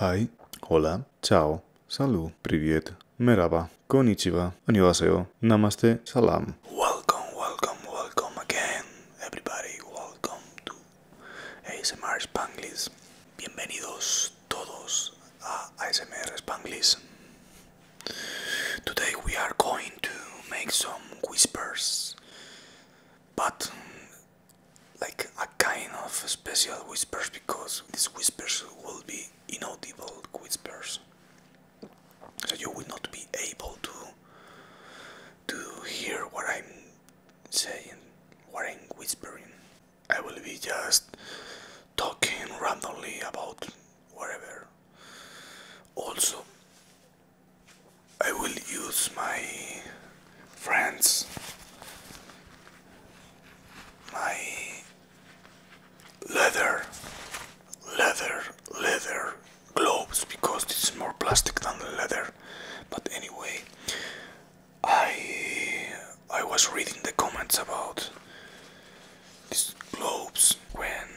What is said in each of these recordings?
Hi, hola, ciao, salu, привет, merhaba, konichiwa, annyeonghaseyo, namaste, salam. Welcome, welcome, welcome again, everybody. Welcome to ASMR Spanglish. Bienvenidos todos a ASMR Spanglish. Today we are going to make some whispers but like a kind of special whispers because these whispers will be inaudible whispers so you will not be able to to hear what I'm saying what I'm whispering I will be just talking randomly about whatever also I will use my friends, my leather, leather, leather gloves because it's more plastic than leather. But anyway, I I was reading the comments about these gloves when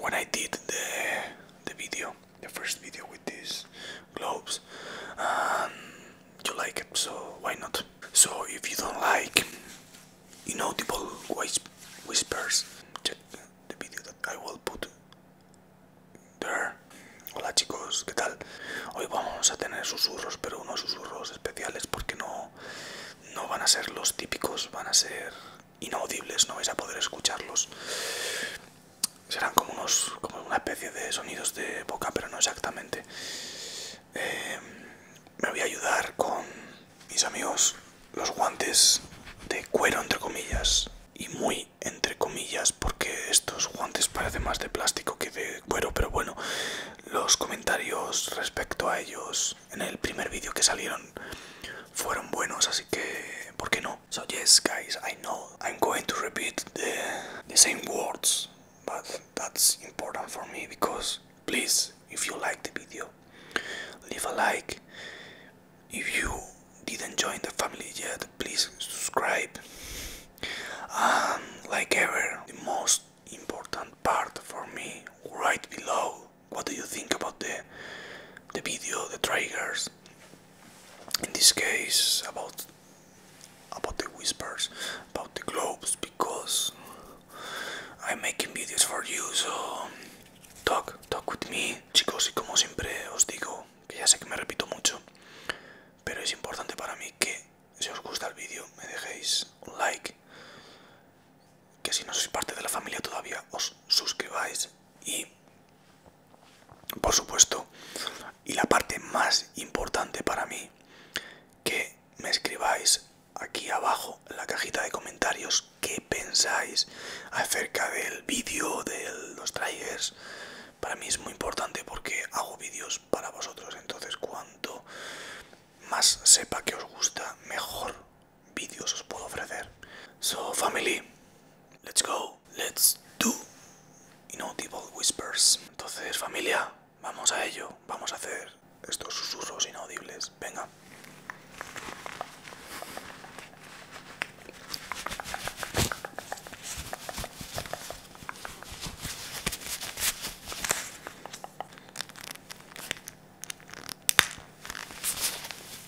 when I did the the video the first video with these globes and you like it so why not so if you don't like inaudible whispers check the video that I will put there hola chicos qué tal hoy vamos a tener susurros pero unos susurros especiales porque no no van a ser los típicos van a ser inaudibles, no vais a poder escucharlos. Serán como, unos, una especie de sonidos de boca, pero no exactamente. Eh, me voy a ayudar con mis amigos los guantes de cuero, entre comillas. Y muy entre comillas, porque estos guantes parecen más de plástico que de cuero, pero bueno, los comentarios respecto a ellos en el primer vídeo que salieron fueron buenos, así que, ¿por qué no? So yes guys, I know I'm going to repeat the, the same words, but that's important for me because please, if you like the video, leave a like. If you didn't join the family yet, please subscribe. And like ever, the most important part for me, right below, what do you think about the the video, the triggers? en this case about about the whispers about the globes because I'm making videos for you so talk talk with me chicos y como siempre os digo que ya sé que me repito mucho pero es importante para mí que si os gusta el vídeo me dejéis un like que si no sois parte de la familia todavía os suscribáis y por supuesto. Y la parte más importante para mí, que me escribáis aquí abajo en la cajita de comentarios qué pensáis acerca del vídeo de los trailers. Para mí es muy importante porque hago vídeos para vosotros, entonces cuanto más sepa que os gusta, mejor vídeos os puedo ofrecer. So family, Let's go, let's do inaudible whispers. Entonces, familia, vamos a ello. Vamos a hacer estos susurros inaudibles. Venga.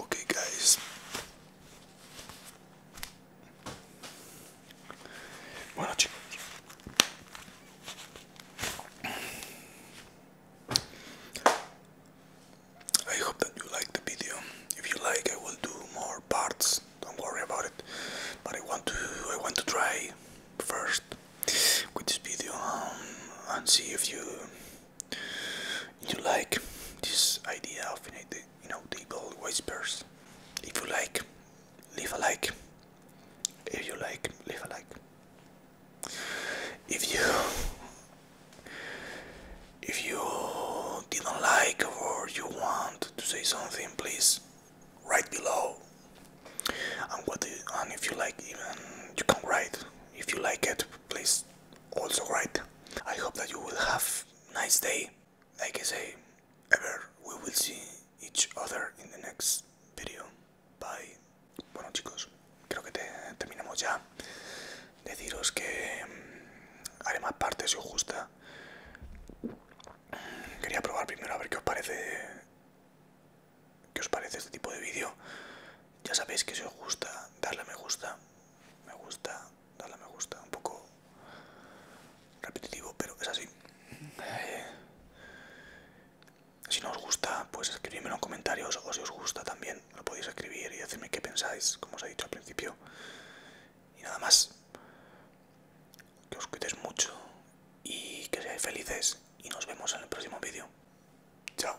Okay, guys. Why don't you? I hope that you liked the video. If you like, I will do more parts don't worry about it. But I want to I want to try first with this video um, and see if you you like this idea of you know table whispers. If you like, leave a like. If you like, leave a like. If you if you didn't like or you want to say something, please write below. And what if you like, even you can write. If you like it, please also write. I hope that you will have nice day. Like I say, ever we will see each other in the next video. Bye. Bueno chicos, creo que terminamos ya. Deciros que mm, haré más partes si os gusta Quería probar primero a ver qué os parece. ¿Qué os parece este tipo de vídeo? Ya sabéis que si os gusta, darle a me gusta. Me gusta, darle a me gusta. Un poco repetitivo, pero es así. Eh, si no os gusta, pues escribidme en comentarios o si os gusta también lo podéis escribir y decirme qué pensáis, como os he dicho al principio. Y nada más. Que os cuidéis mucho y que seáis felices. Y nos vemos en el próximo vídeo. Chao.